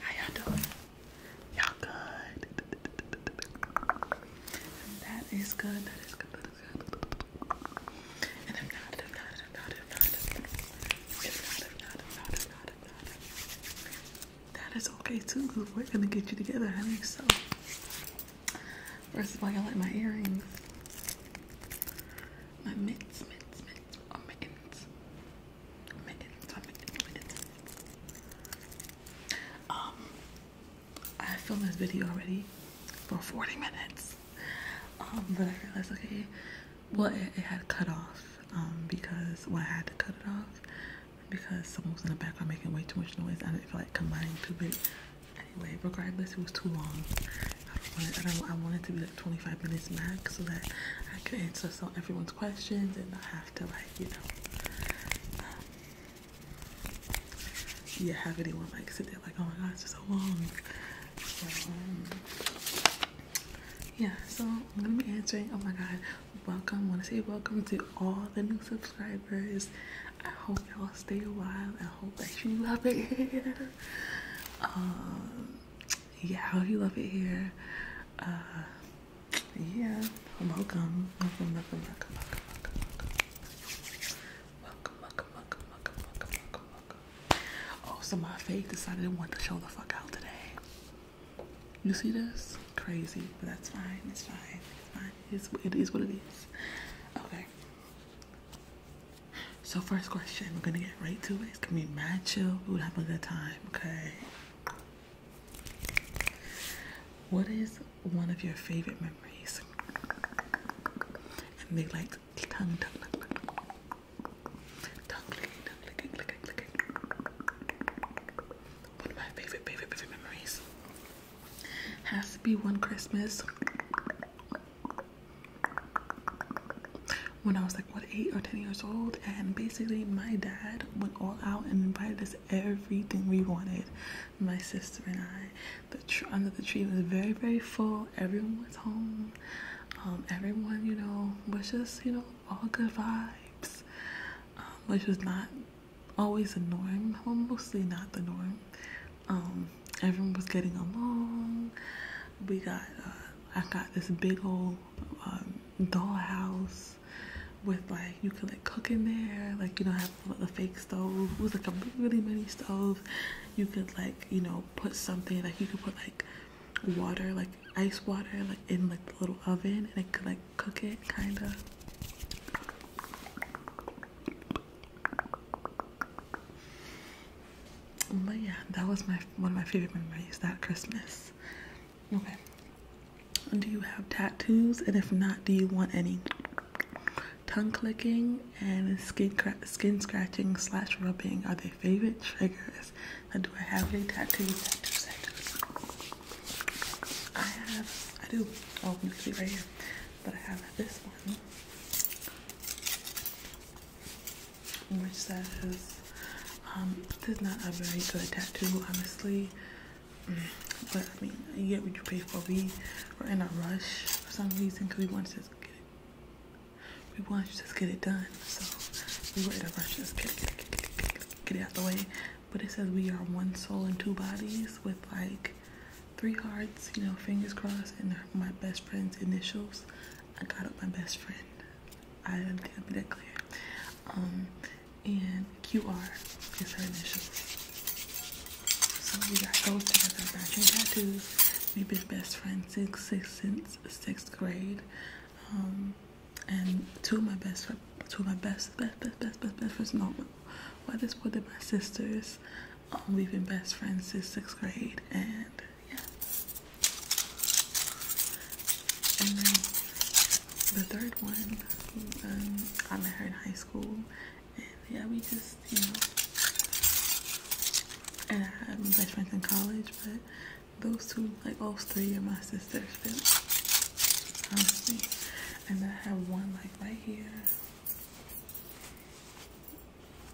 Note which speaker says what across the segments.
Speaker 1: How y'all doing? Y'all good? That is good. That is good. That is good. And if not, if not, if not, if not, if not, if not, if not, if not, if not, if not, if not. that is okay too. Cause we're gonna get you together, honey. So first of all, I like my earrings, my mitts, mitts, mitts, or mittens minutes, Um, I filmed this video already for 40 minutes. Um, but I realized, okay, well, it, it had cut off. Um, because well, I had to cut it off because someone was in the background making way too much noise. I didn't feel like combining too it. Anyway, regardless, it was too long. I wanted, I, I wanted to be 25 minutes max so that I could answer so everyone's questions and not have to like you know um, yeah have anyone like sit there like oh my god it's so long yeah so I'm gonna be answering oh my god welcome want to say welcome to all the new subscribers I hope y'all stay a while I hope that you love it here um, yeah, I hope you love it here. Uh, yeah, welcome, welcome, welcome, welcome, welcome, welcome, welcome, welcome, welcome, welcome, welcome, welcome, welcome, welcome. Oh, so my faith decided it wanted to show the fuck out today. You see this? Crazy, but that's fine. It's fine. It's fine. It's, it is what it is. Okay. So first question, we're gonna get right to it. It's gonna be mad We will have a good time, okay? What is one of your favorite memories? And they like tongue, tongue, tongue, tongue, licking, tongue, licking, licking, licking. One of my favorite, favorite, favorite memories has to be one Christmas when I was like what eight or ten years old, and basically my dad went all out and invited us everything we wanted. My sister and I, the under the tree was very very full. Everyone was home. Um, everyone you know was just you know all good vibes, um, which was not always the norm. mostly not the norm. Um, everyone was getting along we got uh, I got this big old um, dollhouse with like you could like cook in there like you don't have a fake stove it was like a really mini stove you could like you know put something like you could put like water like ice water like in like the little oven and it could like cook it kind of but yeah that was my one of my favorite memories that christmas yes. Okay. Do you have tattoos? And if not, do you want any? Tongue clicking and skin skin scratching slash rubbing are their favorite triggers. Now, do I have any tattoos? Tattoos, tattoos. I have. I do. Oh, you can see right here. But I have this one. Which Um, this is not a very good tattoo, honestly. Mm, but I mean, you get what you pay for. We we're in a rush for some reason because we want to get it. We want to just get it done, so we were in a rush to just get it, get it, out the way. But it says we are one soul and two bodies with like three hearts, you know, fingers crossed, and my best friend's initials. I got up my best friend. I am gonna be that clear. Um, and QR is her initials. So we got those together, matching tattoos. We've been best friends since sixth, since sixth grade. Um, and two of my best, two of my best, best, best, best, best, best friends. No, well, at this point, they're my sisters. Um, we've been best friends since sixth grade, and yeah. And then the third one, um, I met her in high school, and yeah, we just, you know, and I had my best friends in college, but those two, like all three of my sisters, honestly. And then I have one like right here.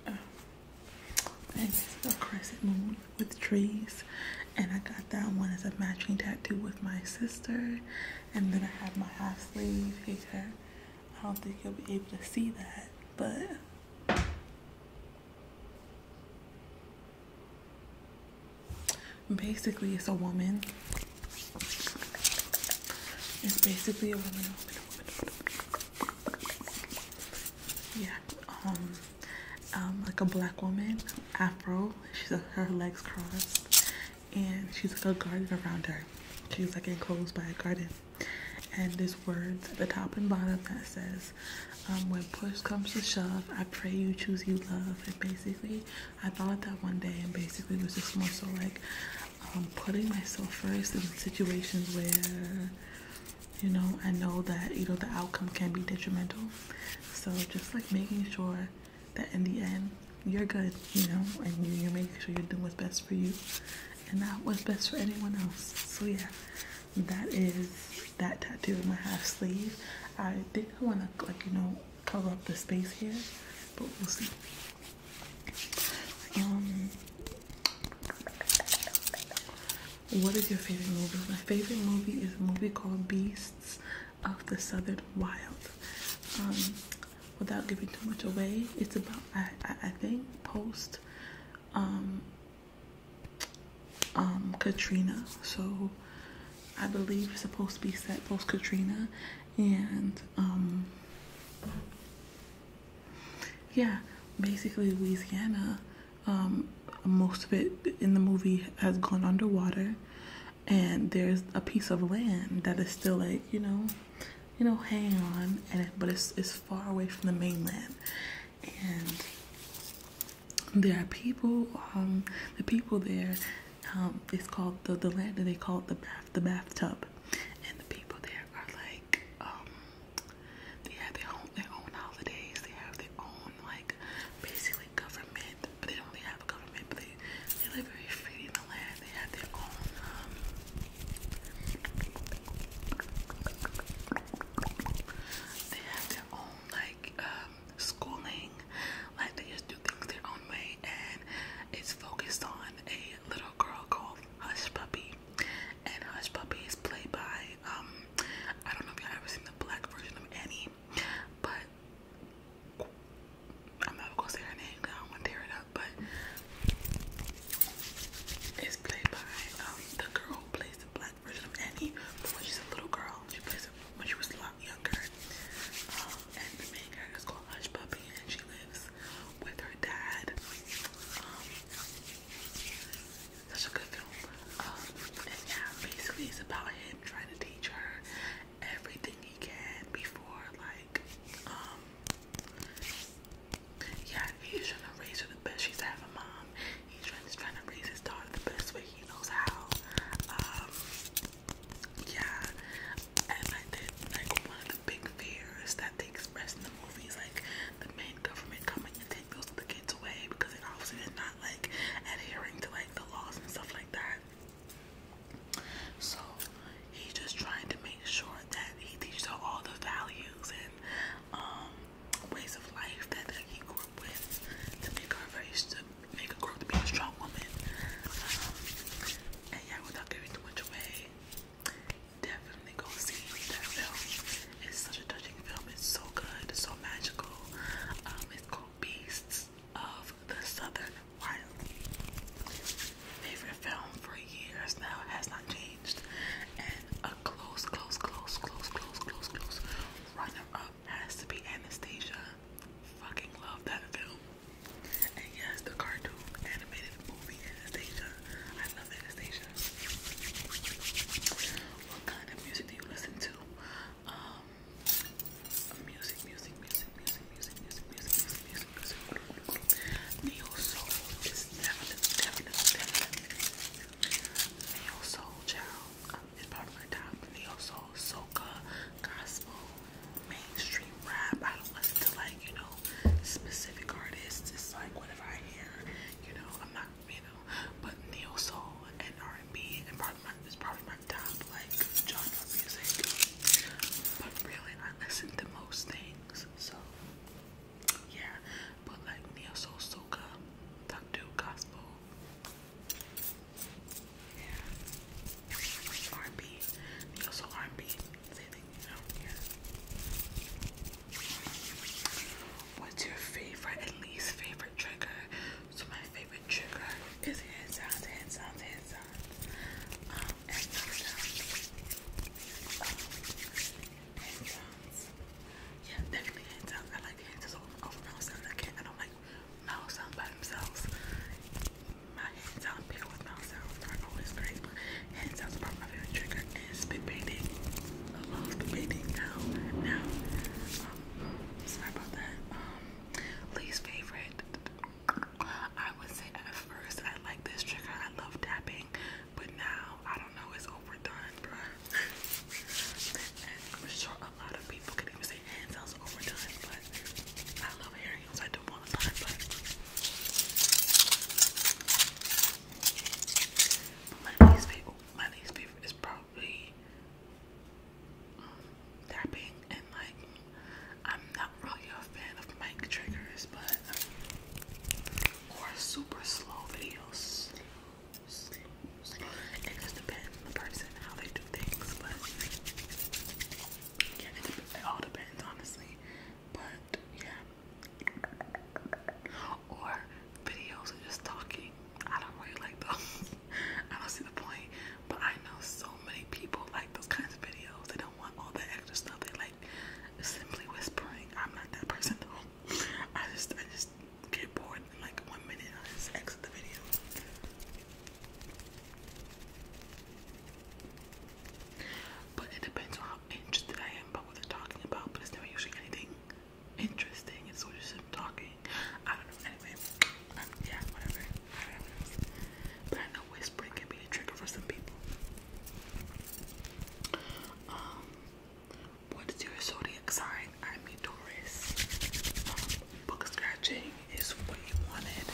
Speaker 1: Oh. And this a crescent moon with trees. And I got that one as a matching tattoo with my sister. And then I have my half sleeve here. I don't think you'll be able to see that, but basically it's a woman. It's basically a woman. woman, woman. Yeah. Um um, like a black woman, afro. She's her legs crossed, and she's like a garden around her. She's like enclosed by a garden, and there's words at the top and bottom that says, um, "When push comes to shove, I pray you choose you love." And basically, I thought that one day, and basically was just more so like um, putting myself first in situations where you know, I know that, you know, the outcome can be detrimental. So just like making sure that in the end, you're good, you know, and you, you're making sure you're doing what's best for you and not what's best for anyone else. So yeah, that is that tattoo in my half sleeve. I think I want to, like, you know, cover up the space here, but we'll see. Um, what is your favorite movie? My favorite movie is a movie called Beasts of the Southern Wild. Um, without giving too much away, it's about I I, I think post um um Katrina. So I believe it's supposed to be set post Katrina and um yeah, basically Louisiana um, most of it in the movie has gone underwater, and there's a piece of land that is still like you know, you know, hang on, and but it's it's far away from the mainland, and there are people. Um, the people there, um, it's called the the land, and they call it the bath the bathtub, and the people there are like um, they have their own their own holidays. They have their own like basically government, but they don't really have a government. But they they live very free in the land. They have their own. Um, they have their own like um, schooling. Like they just do things their own way, and it's focused on a little girl called Hush Puppy. And Hush Puppy is played by um, I don't know if y'all ever seen the black version of Annie, but I'm not gonna say her name I don't to tear it up. But it's played by um, the girl who plays the black version of Annie, when she's a little girl, she plays it when she was a lot younger. Um, and the main character is called Hush Puppy, and she lives with her dad. Um, such a good film. Um, and yeah, basically it's about him trying to teach her everything he can before like um yeah, he's trying to raise her the best she's having mom. He's trying, to raise his daughter the best way he knows how. Um, yeah, and like one of the big fears that they expressed in the movie is like the main government coming take those of the kids away because it obviously is not like adhering to like the laws and stuff like that. So he's just trying to make sure that he teaches her all the values and um, ways of life that, that he grew up with to make her very to make her grow up to be a strong woman. Um, and yeah, without giving too much away, definitely go see that film. It's such a touching film. It's so good, so magical. Um, it's called Beasts of the Southern Wild. Favorite film for years now has not changed, and a close, close, close, close, close, close, close runner-up has to be Anastasia. Fucking love that film. And yes, the cartoon animated movie Anastasia. I love Anastasia. What kind of music do you listen to? Um, music, music, music, music, music, music, music, music, music, music. Neo soul is definitely, definitely, definitely. Neo soul, child. Um, it's part of my top. Neo soul, soca, gospel, mainstream rap. I don't listen to like you know specific artists. It's like whatever I hear. You know, I'm not you know. But neo soul and R and B and probably my is probably my top like genre music. But really I listen to most things. So yeah. But like neo soul soca, Doctor Gospel. Yeah. R and B. Neo soul R and B. Same thing, you know, yeah. What's your favorite and least favorite trigger? So my favorite trigger is hand sounds, hand sounds, hand sounds. Um, and sounds. Um, hand sounds. Yeah, definitely hand I like hand sounds over sounds. I don't like mouth sounds by themselves. My hand sounds pair with mouth sounds are always great, but sounds are probably my favorite trigger and spit painting. I love spit now. Now, um, sorry about that. Um, least favorite. I would say at first I like this trigger. I love tapping, but now I don't know. It's overdone, bruh. I'm sure a lot of people could even say hand overdone, but I love hearing I do want a lot, least favorite my least favorite is probably um, tapping and like I'm not really a fan of mic triggers, but or super slow videos. It just depends on the person how they do things, but yeah, it all depends honestly. But yeah, or videos of just talking. I don't really like those. I don't see the point. But I know so many people like those kinds of videos. They don't want all that extra stuff. They like simply whispering. I'm not that person though. I just I just get bored in like one minute I just exit the video. But it depends on how interested I am about what they're talking about, but it's never usually anything interesting. It's so just him talking. I don't know. Anyway, um, yeah, whatever. But I know whispering can be a trigger for some people. Um, what's your zodiac sign? I mean, Taurus. Um, book scratching is what you wanted.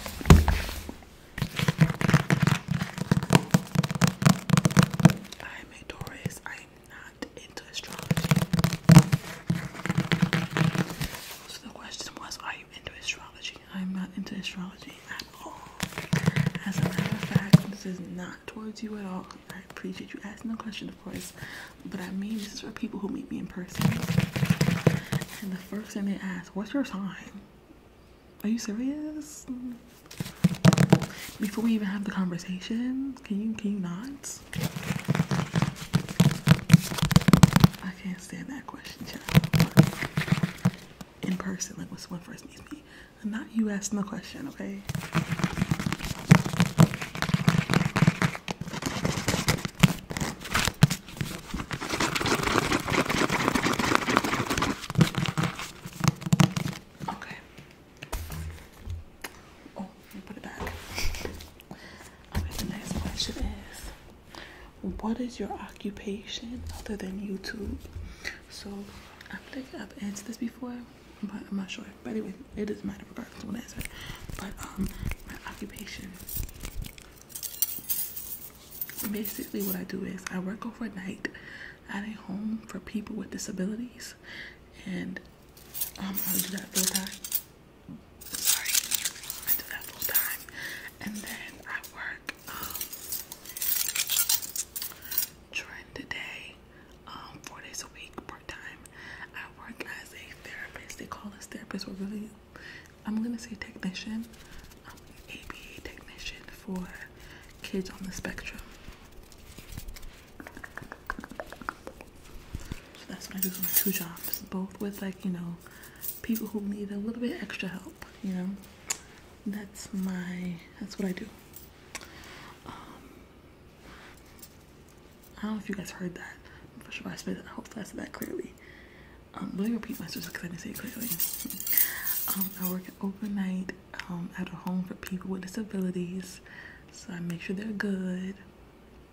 Speaker 1: I'm a Taurus. I'm not got into astrology. So the question was, are you into astrology? I'm not into astrology at all. As a matter of fact, this is not towards you at all. I appreciate you asking the question, of course, but I mean this is for people who meet me in person. And the first thing they ask, what's your sign? Are you serious? Before we even have the conversation, can you can you not? I can't stand that question, child. In person, like when someone first meets me. Not you asking the question, okay? Okay. Oh, put it back. okay, the next question is What is your occupation other than YouTube? So, I think I've answered this before, but I'm not sure. But anyway, it doesn't matter I'm regardless gonna answer. But, um, my occupation basically what I do is I work overnight at a home for people with disabilities and um, I would do that full time. Sorry, I do that full time, and then I work um, during the day, um, four days a week, part time. I work as a therapist. They call us therapists. We're really, I'm gonna say technician, um, ABA technician for kids on the spectrum. So that's what I do for my two jobs, both with like, you know, people who need a little bit extra help, you know. That's my that's what I do. Um, I don't know if you guys heard that. I'm not sure I said that. Hopefully I that clearly. Um, let me repeat my because I didn't say it clearly. Um, I work an overnight um, at a home for people with disabilities, so I make sure they're good.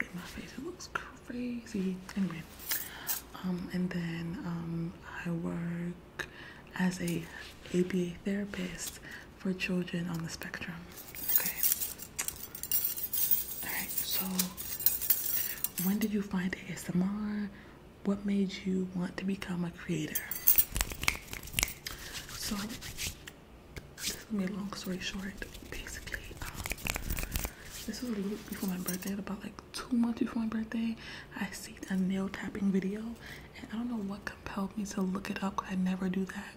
Speaker 1: In my face, it looks crazy. Anyway, um, and then um, I work as a ABA therapist for children on the spectrum. Okay. All right. So, when did you find ASMR? What made you want to become a creator? So, this is gonna be a long story short. Basically, um, this was a little before my birthday, about like two months before my birthday. I see a nail tapping video, and I don't know what compelled me to look it up I never do that.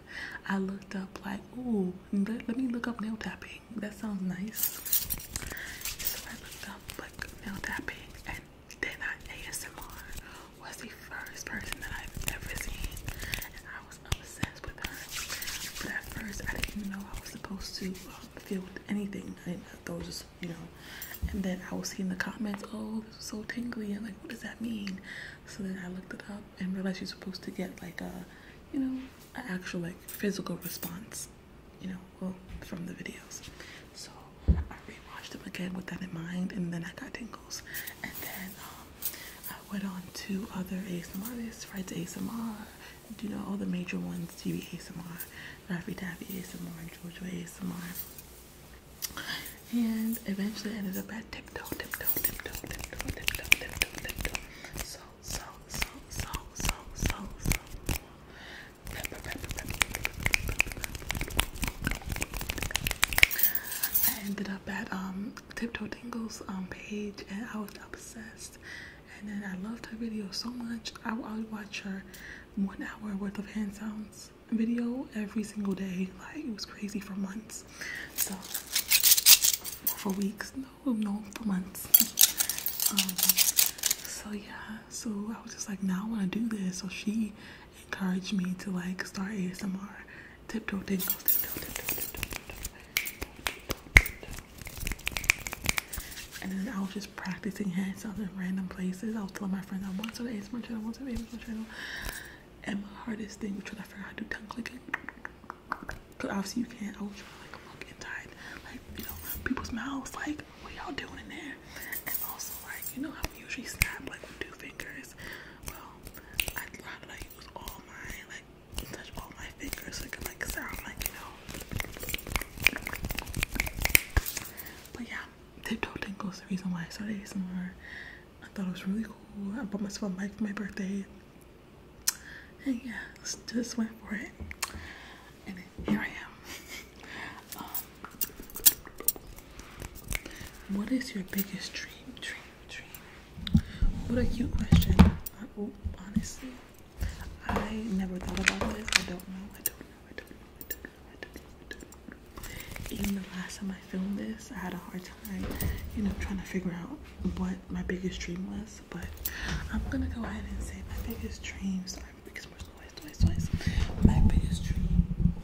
Speaker 1: I looked up, like, oh, let, me look up nail tapping. That sounds nice. So I looked up, like, nail tapping, and then ASMR was the first person that I've ever seen, and I was obsessed with her. But at first, I didn't even know I was supposed to um, feel with anything. those, just, you know. And then I was seeing the comments, "Oh, this is so tingly," and like, what does that mean? So then I looked it up and realized you're supposed to get like a, you know, an actual like physical response, you know, from the videos. So I rewatched them again with that in mind, and then I got tingles, and then. Um, I went on to other ASMR artists, Fred's ASMR, you know, all the major ones, TV ASMR, Raffy Taffy ASMR, and Jojo ASMR. And eventually ended up at Tiptoe, Tiptoe, Tiptoe, Tiptoe, Tiptoe, Tiptoe, Tiptoe. So, so, so, so, so, so, so. I ended that um, Tiptoe Dingle's um, page and I was obsessed. And then I loved her video so much. I would watch her one hour worth of hand sounds video every single day. Like it was crazy for months. So for weeks, no, no, for months. Um, so yeah, so I was just like, now I want to do this. So she encouraged me to like start ASMR. Tiptoe, tiptoe, tiptoe, tiptoe, tiptoe, And then I was just practicing hands sounds in random places. I was telling my friends I want to the ASMR channel, I want to the ASMR channel. And my hardest thing was trying to figure out how to do tongue clicking. Cause obviously you can't. I was trying to like look inside, like you know, people's mouths. Like, what y'all doing in there? And also like, you know how we usually snap like with two fingers well, I try to use all my like touch all my fingers so like sound like you know. But yeah, the toe tingles the reason why I started more. I thought it was really cool. I bought myself a mic for my birthday. And yeah, just went for it. And here I am. Um, what is your biggest dream? Dream, dream. What a cute question. oh, honestly, I never thought about this. I don't know. I don't know. I don't know. I don't know. I don't know. Even the last time I filmed this, I had a hard time, you know, trying to figure out what my biggest dream was. But I'm gonna go ahead and say my biggest dreams. Sorry, because we're twice, My biggest dream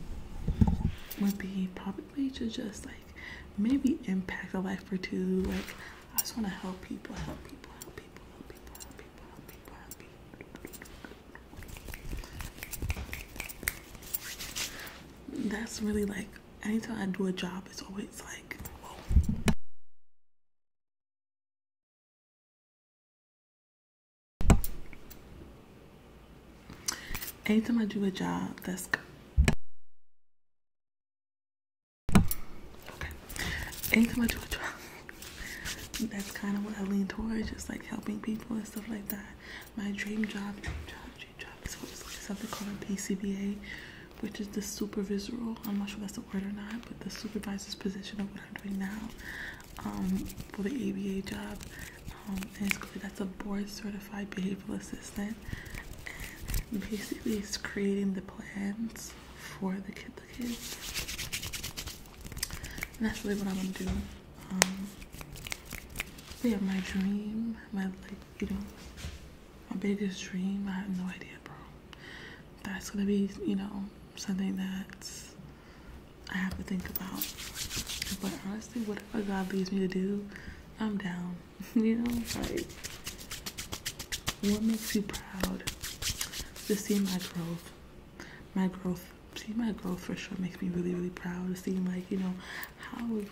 Speaker 1: would be probably would way to just like maybe impact a life or two. Like I just want to help people, help people, help people, help people, help people, help people, That's really like anytime I do a job, it's always like Anytime I do a job that's good. okay. Anytime I do a job, that's kind of what I lean towards, just like helping people and stuff like that. My dream job, dream job, dream job is something called a PCBA, which is the supervisory. I'm not sure that's the word or not, but the supervisor's position of what I'm doing now um, for the ABA job um, That's a board certified behavioral assistant. basically, it's creating the plans for the kids. that's really what I am going to do. Um, yeah, my dream, my like, you know, my biggest dream. I have no idea, bro. That's gonna be, you know, something that I have to think about. But honestly, what what God leads me to do, I'm down. you know, like what makes you proud to see my growth? My growth, see my growth for sure makes me really, really proud to see like you know how we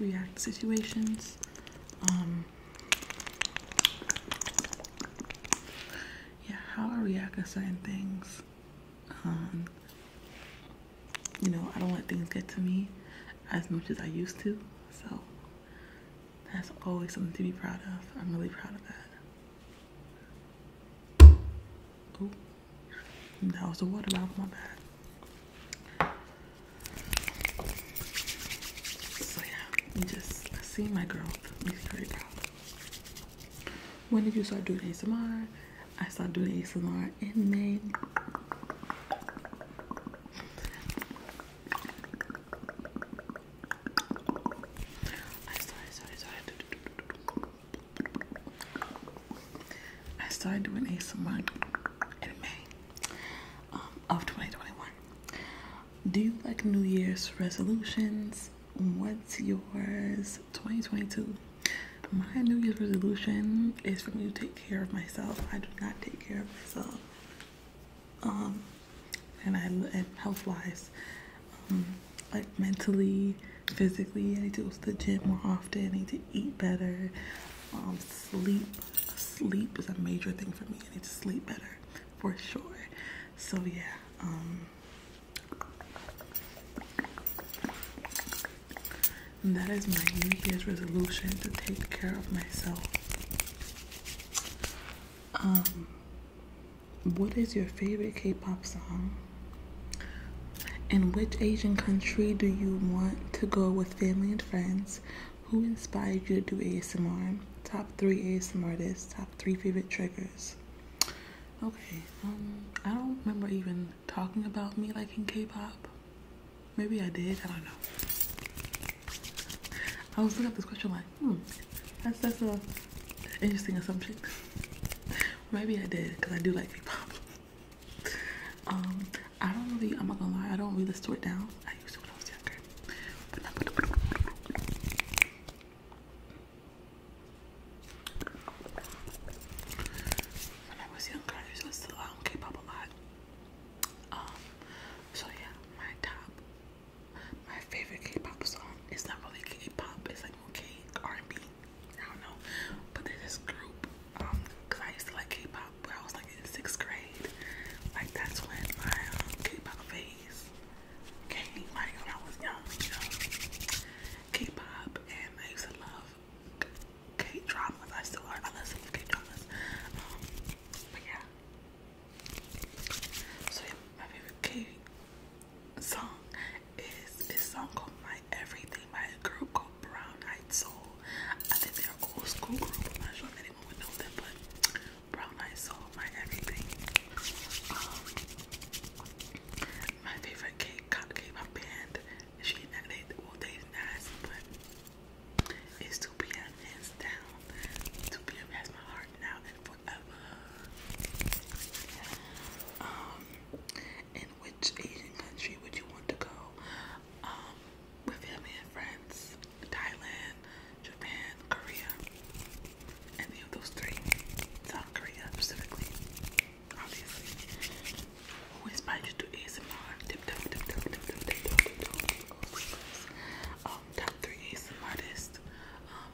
Speaker 1: react to situations. Um, yeah, how I react to certain things. Um, you know, I don't let things get to me as much as I used to. So that's always something to be proud of. I'm really proud of that. Oh, that was the water bottle, my bag. So yeah, you just see my growth. When did you start doing ASMR? I started doing ASMR in May. I started, doing ASMR in May um, of 2021. Do you like New Year's resolutions? What's yours? 2022. My New Year's resolution is for me to take care of myself. I do not take care of myself. Um, and I and health wise, um, like mentally, physically, I need to go to the gym more often. I need to eat better. Um, sleep, sleep is a major thing for me. I need to sleep better for sure. So yeah. Um, and that is my New Year's resolution to take care of myself. Um, what is your favorite K pop song? In which Asian country do you want to go with family and friends? Who inspired you to do ASMR? Top three ASMR artists, top three favorite triggers. Okay, um, I don't remember even talking about me like in K-pop. Maybe I did. I don't know. I was looking up this question like, hmm, that's such an interesting assumption. Maybe I did because I do like K-pop. um, I don't really. I'm not gonna lie. I don't really store it down. I used to when I was younger. When I was younger, I used to listen K-pop a lot. Um, so yeah, my top, my favorite K-pop song is not really K-pop. It's like more K R&B. I don't know, but there's this group. Um, cause I used to like K-pop when I was like in sixth grade. Like that's when my um, K-pop phase came. Like when I was young, you know, K-pop, and I used to love K dramas. I still are. I listen to K dramas. Um, but yeah. So my favorite K song is this song called "My Everything" by a group called Brown Eyed Soul. I think they're old school group. I'm not sure if anyone would know them, but Brown Eyed Soul, "My Everything." Um, my favorite K-pop band she not they well they nice, but it's to be hands down. To be has my heart now and forever. Um, in which Asian country would you want to go? Um, with family and friends, Thailand, Japan, Korea. Any of those three. South Korea specifically obviously. Who inspired you to ASMR? Tip, tip, tip, tip, tip, tip, Um, top three ASMRists. Um,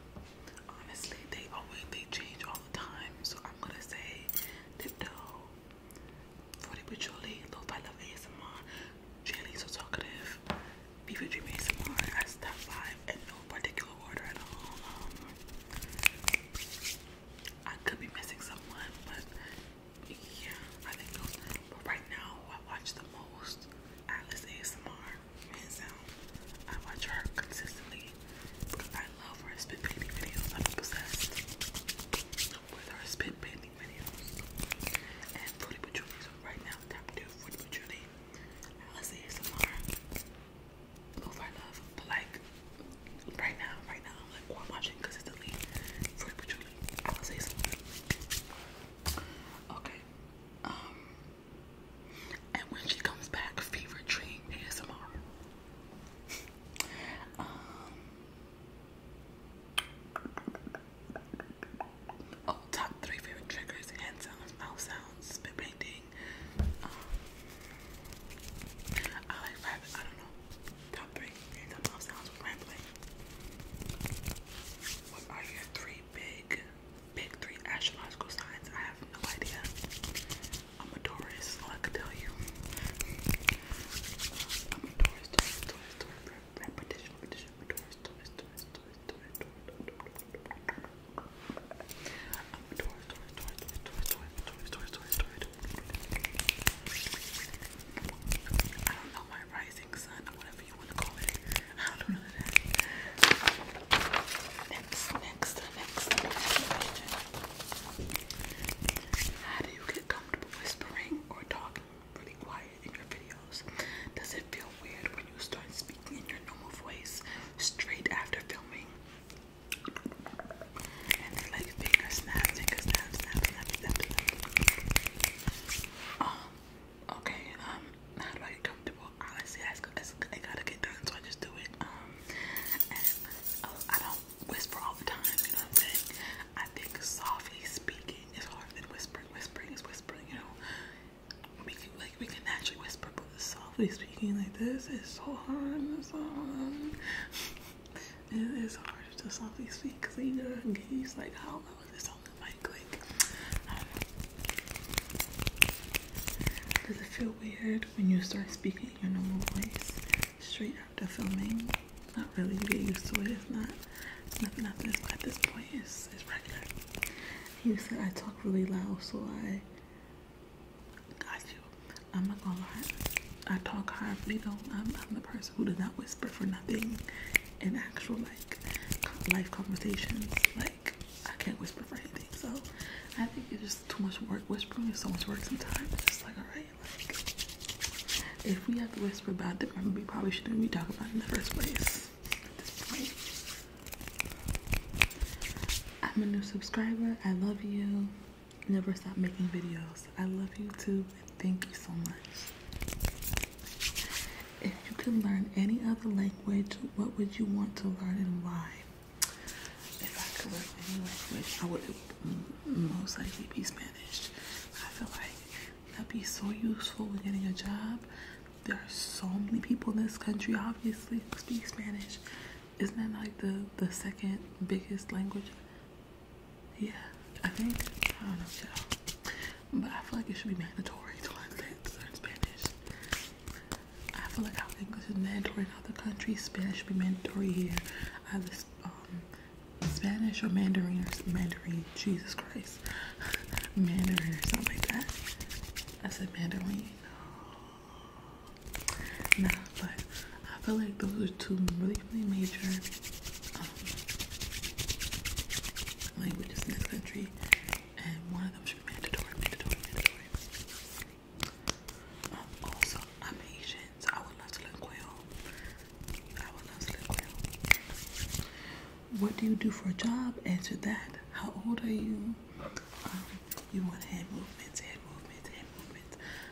Speaker 1: honestly, they always they change all the time, so I'm gonna say Tiptoe, Forty with Julie, Lo-Fi ASMR, Jaylee So Talkative, Beaver Dream ASMR as top five in no particular order at all. I could be missing someone, but yeah, I think those. But right now, I watch the most Alice ASMR, hands down. I watch her consistently because I love her spit painting videos. I'm obsessed with her spit painting videos. And Fruity Patchouli, right now, tap two Fruity Patchouli, Alice ASMR move I love, but like right now, right now, I'm like well, I'm watching consistently Fruity Patchouli. I would say something. Okay. Um and when she comes back, fever dream ASMR. um Oh, top three favorite triggers, hand sounds, mouth sounds, spit painting, um, I like rap. I don't know. Top three. Hands up, sounds rambling. What are your three big, big three astrological signs? I have no idea. I'm a Taurus. All I can tell you. I'm a Taurus. I don't know my rising sun or whatever you want to call it. I don't know that. Next, next, next question. How do you get comfortable whispering or talking really quiet in your videos? Does it feel weird when you start speaking in your normal voice straight after filming? okay, um, how do I get comfortable? Honestly, I, I gotta get done, so I just do it. Um, oh, I don't whisper all the time, I'm saying? I think softly speaking is harder than whispering. Whispering is whispering, you know. We can, like, we can naturally whisper, but softly speaking like this is so hard it is hard to softly speak because He's know I'm engaged. Like, how low is this the mic? Like, Does it feel weird when you start speaking your normal voice straight after filming? Not really. You get used to it. It's not. It's nothing after this. But At this point, it's, regular. You said I talk really loud, so I Got you. I'm not gonna lie. I talk horribly though. I'm, I'm the person who does not whisper for nothing in actual like life conversations. Like I can't whisper for anything. So I think it's just too much work. Whispering It's so much work sometimes. It's just like alright, like if we have to whisper about the room, we probably shouldn't be talking about it in the first place. At this point. I'm a new subscriber. I love you never stop making videos. I love YouTube thank you so much. If you could learn any other language, what would you want to learn and why? If I could learn any language, I would most likely be Spanish. I feel like that'd be so useful when getting a job. There are so many people in this country, obviously, who speak Spanish. Isn't that like the the second biggest language? Yeah, I think I don't know, y'all. But I feel like it should be mandatory to learn Spanish. I feel like how English is mandatory in other countries, Spanish should be mandatory here. Either um, Spanish or Mandarin or Mandarin. Jesus Christ, Mandarin or something like that. I said Mandarin. Oh. Nah, but I feel like those are two really, major um, languages in this country, and one of them should be mandatory, um, also, I'm Asian, so I would love to learn quail. I would love to learn quail. What do you do for a job? Answer that. How old are you? Um, you want hand movements, hand movements, hand movements.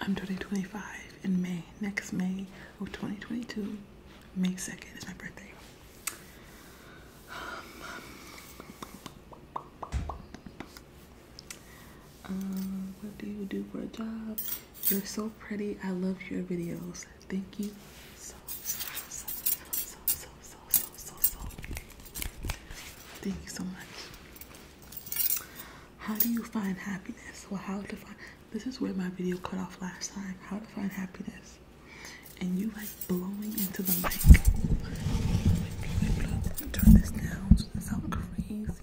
Speaker 1: I'm 2025 in May, next May of 2022. May 2nd is my birthday. Um, what do you do for a job? You're so pretty. I love your videos. Thank you so so so so so so so so Thank you so much. How do you find happiness? Well, how to find this is where my video cut off last time. How to find happiness. And you like blowing into the mic. Turn this down so crazy.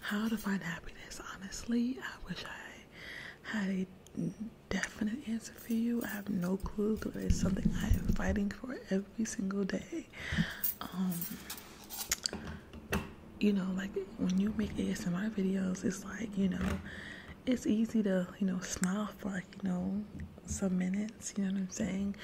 Speaker 1: How to find happiness? Honestly, I wish I had a definite answer for you. I have no clue, but it's something I am fighting for every single day. Um, you know, like when you make ASMR videos, it's like, you know, it's easy to, you know, smile for like, you know, some minutes, you know what I'm saying?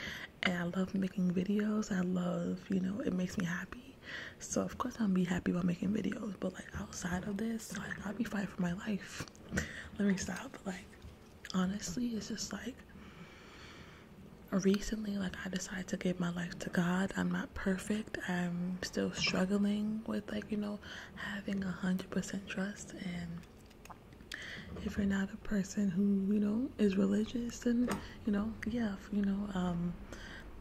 Speaker 1: And I love making videos. I love, you know, it makes me happy. So of course I'll be happy about making videos, but like outside of this, like I'll be fighting for my life. Let me stop. Like honestly, it's just like recently, like I decided to give my life to God. I'm not perfect. I'm still struggling with like, you know, having a hundred percent trust and if you're not a person who you know is religious and you know yeah you know um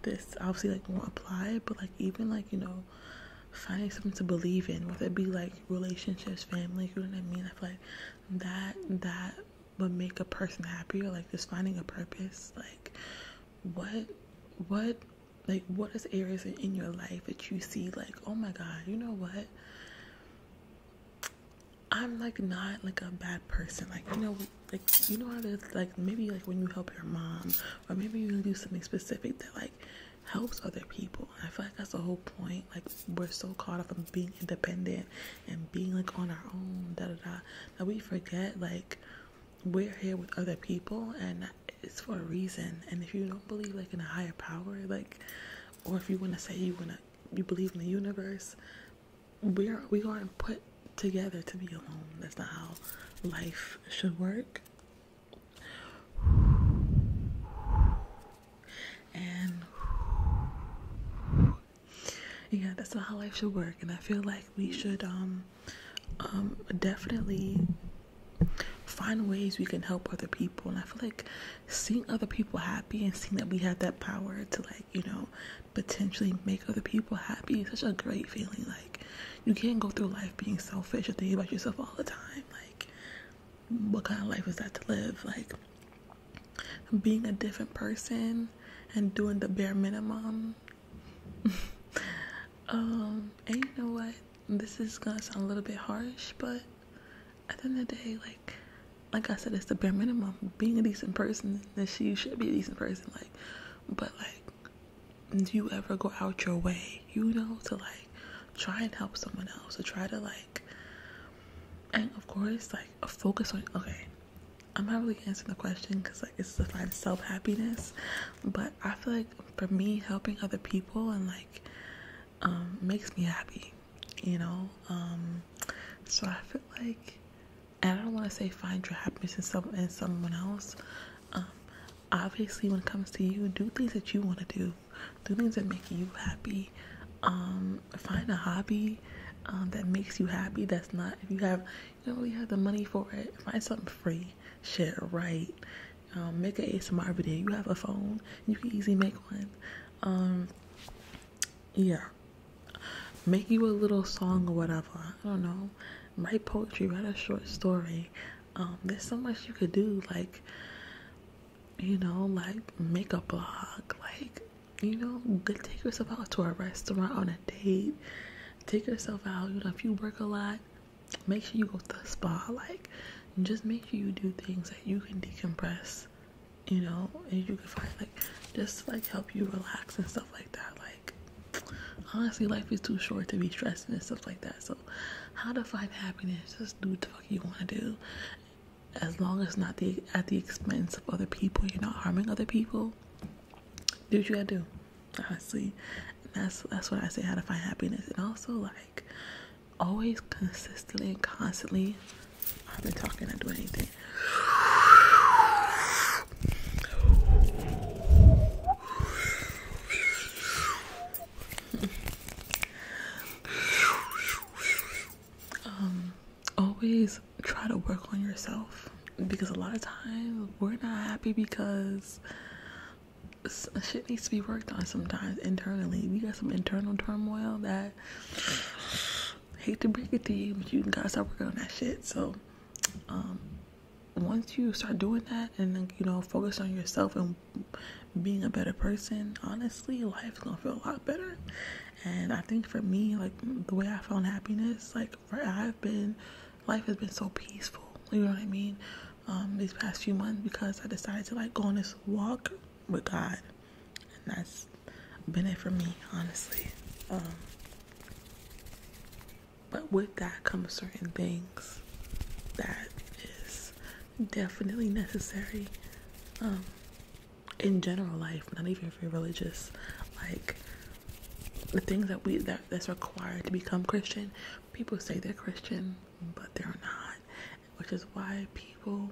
Speaker 1: this obviously like won't apply but like even like you know finding something to believe in whether it be like relationships family you know what i mean i feel like that that but make a person happier like just finding a purpose like what what like what is areas in your life that you see like oh my god you know what i'm like not like a bad person like you know like you know like maybe like when you help your mom or maybe you do something specific that like helps other people i feel like that's the whole point like we're so caught up in being independent and being like on our own, da da da. That we forget like we're here with other people and it's for a reason. And if you don't believe like in a higher power, like, or if you want to say you want to, you believe in the universe, we are we aren't put together to be alone. That's not how life should work. And yeah, that's not how life should work. And I feel like we should um, um, definitely find ways we can help other people. And I feel like seeing other people happy and seeing that we have that power to like, you know, potentially make other people happy is such a great feeling. Like you can't go through life being selfish or thinking about yourself all the time. Like what kind of life is that to live? Like being a different person and doing the bare minimum. Um, and you know what? This is gonna sound a little bit harsh, but at the end of the day, like, like I said, it's the bare minimum. Being a decent person, then she should be a decent person. Like, but like, do you ever go out your way, you know, to like try and help someone else or try to like and of course like focus on okay i'm not really answering the question because like it's to find self-happiness but i feel like for me helping other people and like um makes me happy you know um so i feel like and i don't want to say find your happiness in in someone else um obviously when it comes to you do things that you want to do do things that make you happy um, find a hobby um, that makes you happy that's not if you have you don't really have the money for it find something free shit right um, make a asmr video you have a phone you can easily make one yeah make you a little song or whatever i don't know write poetry write a short story there's so much you could do like you know, like make a blog, like, you know, take yourself out to a restaurant on a date, take yourself out, you know, if you work a lot, make sure you go to the spa, like, just make sure you do things that you can decompress, you know, and you can find like just like help you relax and stuff like that. Like, honestly, life is too short to be stressing and stuff like that. So, how to find happiness? Just do what you want to do as long as not the at the expense of other people, you're not harming other people. Do what you gotta do, honestly. that's that's what I say how to find happiness. And also like always consistently and constantly I've been talking, not doing anything. Um, always try to work on yourself because a lot of times we're not happy because shit needs to be worked on sometimes internally. We got some internal turmoil that hate to break it to you, but you gotta start working on that shit. So, um, once you start doing that and you know focus on yourself and being a better person, honestly, life's gonna feel a lot better. And I think for me, like the way I found happiness, like where I've been, life has been so peaceful. You know what I mean? Um, these past few months because I decided to like go on this walk with God, and that's been it for me, honestly. Um, but with that comes certain things that is definitely necessary. Um, in general life, not even if you're religious, like the things that we that that's required to become Christian, people say they're Christian, but they're not, which is why people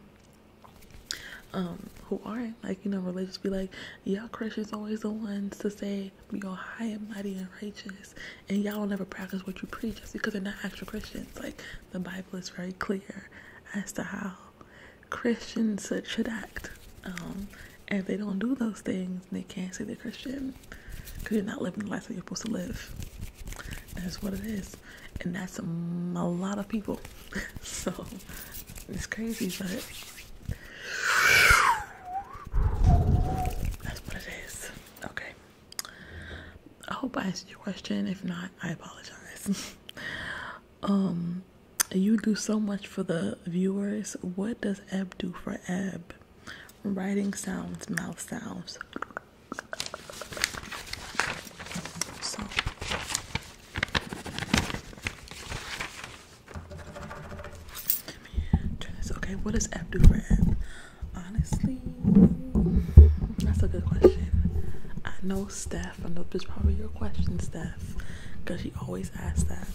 Speaker 1: um, who aren't like you know religious be like y'all christians always the ones to say you are high and mighty and righteous and y'all will never practice what you preach just because they're not actual christians like the bible is very clear as to how Christians should act. Um, and if they don't do those things, they can't say they're Christian because you're not living the life that you're supposed to live. That's what it is, and that's a, a lot of people. so it's crazy, but that's what it is. Okay. I hope I answered your question. If not, I apologize. um you do so much for the viewers what does Eb do for Eb? writing sounds mouth sounds Okay, what does F do for Eb? Honestly, that's a good question. I know Steph I know this is probably your question, Steph, because she always asks that.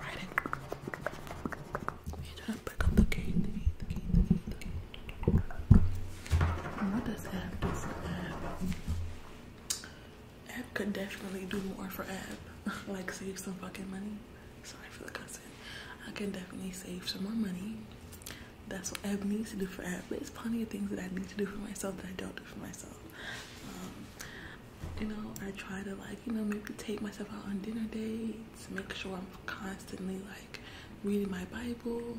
Speaker 1: Right what does Ab do for could definitely do more for App, like save some fucking money sorry for the cussing. I can definitely save some more money. That's what I need to do for But There's plenty of things that I need to do for myself that I don't do for myself. Um, you know, I try to like, you know, maybe take myself out on dinner dates, make sure I'm constantly like reading my Bible,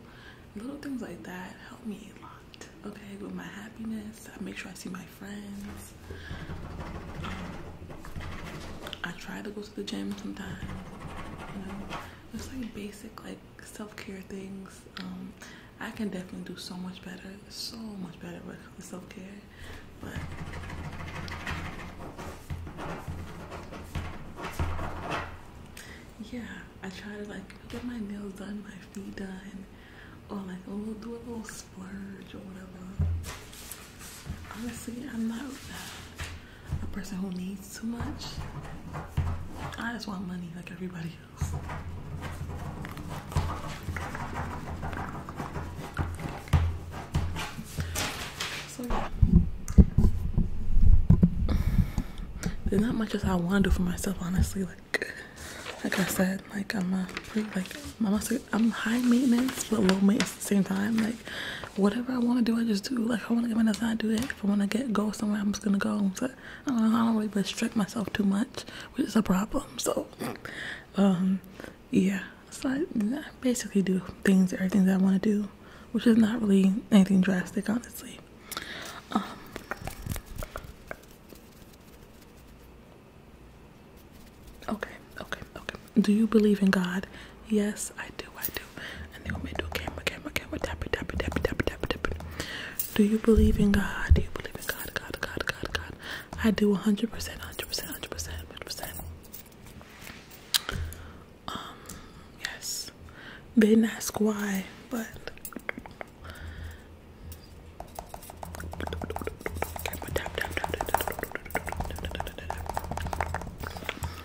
Speaker 1: little things like that help me a lot, okay, with my happiness. I make sure I see my friends. Um, I try to go the gym sometimes. You know, just like basic like self-care things. Um, I can definitely do so much better, so much better with self-care. But yeah, I try to like get my nails done, my feet done, or like a little do a little splurge or whatever honestly, I'm not a person who needs too much. I just want money like everybody else. There's not much as I want to do for myself, honestly. Like, like I said, like I'm a like I'm high maintenance but low maintenance at the same time. Like, whatever I want to do, I just do. Like, I want to get my nails done, I do that. If I want to get go somewhere, I'm just gonna go. So, I don't, know, I don't really restrict myself too much, which is a problem. So, um, yeah. So I, basically do things, everything that I want to do, which is not really anything drastic, honestly. Um, okay, okay, okay, do you believe in God? Yes, I do. I do. And they want me do camera, camera, camera, tap it, tap it, tap it, Do you believe in God? Do you believe in God? God, God, God, God. I do 100%, 100%, 100%, 100%. Um, yes. They didn't ask why, but.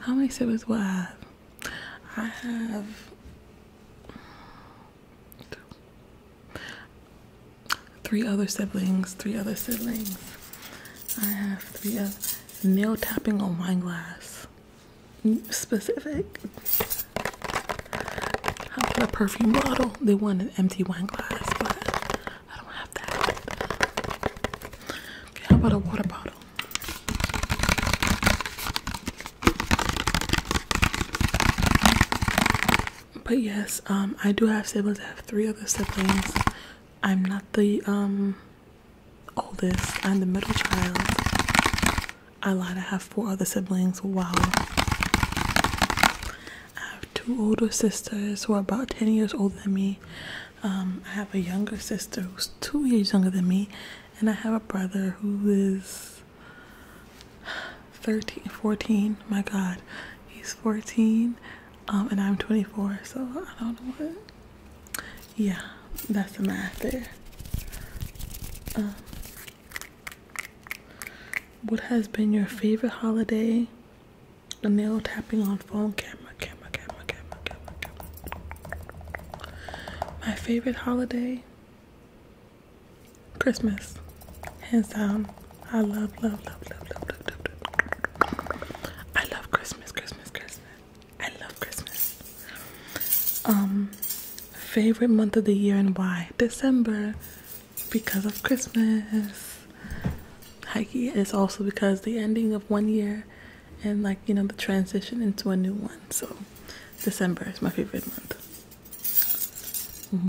Speaker 1: how many siblings will I have? I have three other siblings, three other siblings. I have three other nail tapping on wine glass. Specific. How about a perfume bottle? They want an empty wine glass, but I don't have that. Okay, how about a water bottle? But yes, um, I do have siblings. I have three other siblings. I'm not the um, oldest. I'm the middle child. I lied. I have four other siblings. Wow. I have two older sisters who are about ten years older than me. Um, I have a younger sister who's two years younger than me, and I have a brother who is 13, 14. My God, he's 14, um, and I'm 24, so I don't know what. Yeah, that's the math there. Um, what has been your favorite holiday? The nail tapping on phone camera camera, camera, camera, camera, camera, camera. My favorite holiday, Christmas. Hands down, I love, love, love, love, love, love, love. I love Christmas, Christmas, Christmas. I love Christmas. Um, favorite month of the year and why? December, because of Christmas. Hikey is also because the ending of one year and like you know the transition into a new one so december is my favorite month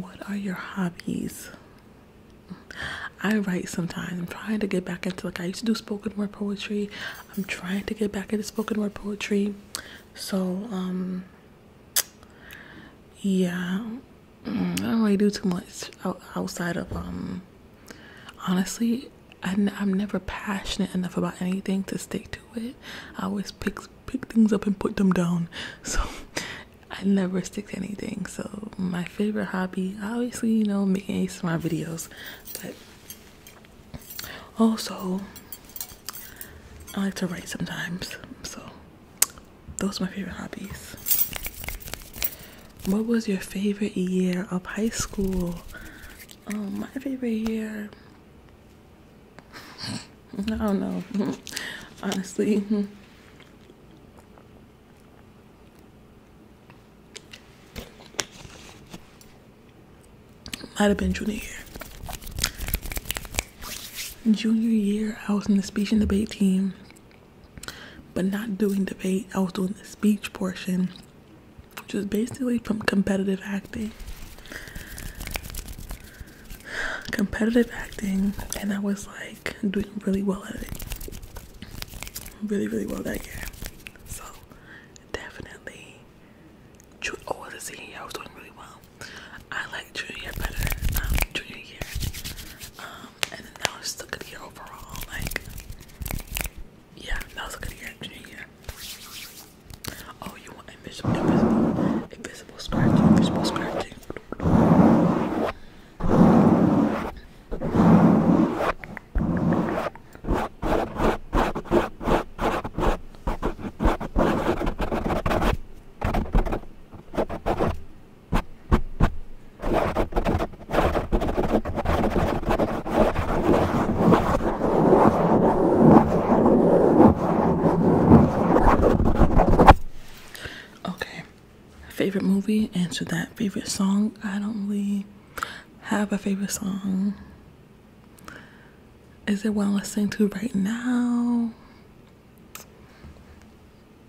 Speaker 1: what are your hobbies i write sometimes i'm trying to get back into like i used to do spoken word poetry i'm trying to get back into spoken word poetry so um yeah i don't really do too much outside of um honestly i n i'm never passionate enough about anything to stick to it i always pick pick things up and put them down so i never stick to anything so my favorite hobby obviously you know making my videos but also i like to write sometimes so those are my favorite hobbies what was your favorite year of high school? Um, my favorite year. I don't know. Honestly. Might have been junior year. Junior year, I was in the speech and debate team, but not doing debate. I was doing the speech portion which is basically from competitive acting. Competitive acting, and I was like doing really well at it. Really, really well that year. So, definitely. Oh, year, I was doing really well. I liked junior year better. Um, junior year. Um, and then I was still good year overall. Like, yeah, that was a good year, junior Oh, you want invisible, invisible, invisible scratching, invisible scratching. Okay, favorite movie, answer that. Favorite song, I don't really have a favorite song. Is there one I'm listening to right now?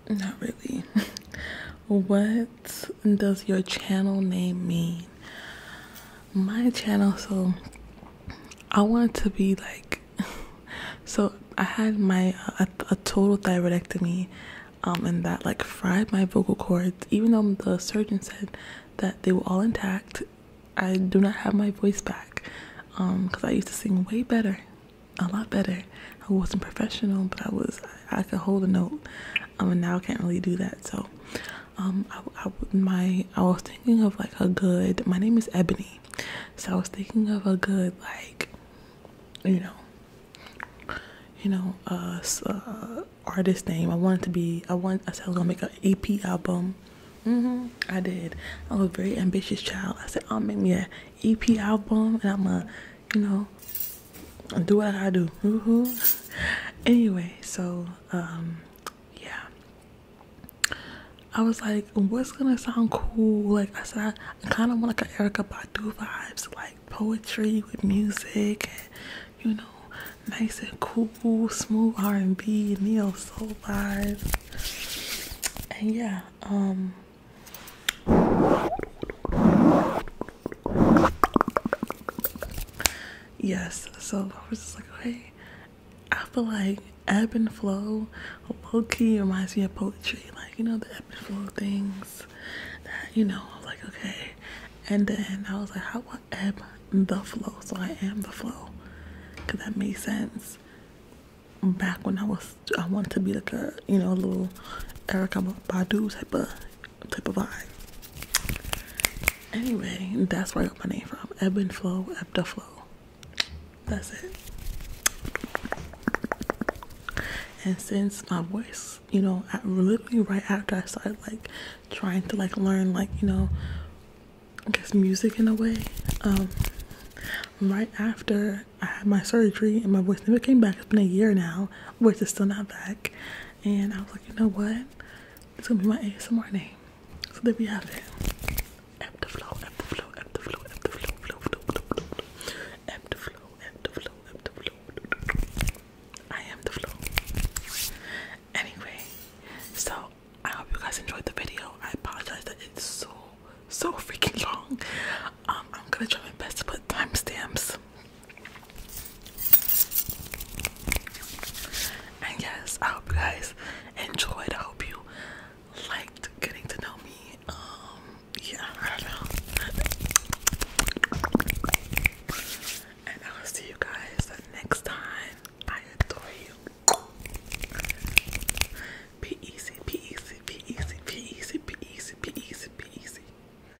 Speaker 1: Not really. what what does your channel name mean? My channel, so I want to be like, so I had my a, a total thyroidectomy, um, and that like fried my vocal cords. Even though the surgeon said that they were all intact, I do not have my voice back, um, because I used to sing way better, a lot better. I wasn't professional, but I was I could hold a note, um, and now I can't really do that. So, um, I, my I was thinking of like a good. My name is Ebony, so I was thinking of a good like, you know, you know, uh, uh, artist name. I wanted to be. I want. I said I was gonna make an EP album. Mm-hmm, I did. I was a very ambitious child. I said, I'll make me an EP album and I'm a you know, do what I do. Mm-hmm. anyway, so um, yeah, I was like, what's gonna sound cool? Like I said, I kind of want like an Erica Badu vibes, like poetry with music, you know, nice and cool, smooth R and B, neo soul vibes. And yeah, um yes so i was just like okay i feel like ebb and flow low-key reminds me of poetry like you know the ebb and flow things that you know i was like okay and then i was like how about ebb the flow so i am the flow because that made sense back when i was i wanted to be like a you know a little erica badu type of type of vibe. Anyway, that's where I got my name from. Ebb and flow, ebb to flow. That's it. And since my voice, you know, literally right after I started like trying to like learn like you know, I guess music in a way. Um, right after I had my surgery and my voice never came back. It's been a year now. Voice is still not back and I was like, you know what? It's gonna be my ASMR name. So there we have it. I am the flow. Anyway, so I hope you guys enjoyed the video. I apologize that it's so so freaking long. Um, I'm gonna try my best to put timestamps and yes, I hope you guys enjoyed. I hope you liked getting to know me. Um, yeah, I don't know. And I'll see you guys the next time. I adore you. Be easy, be easy, be easy, be easy, be easy, be easy, be easy.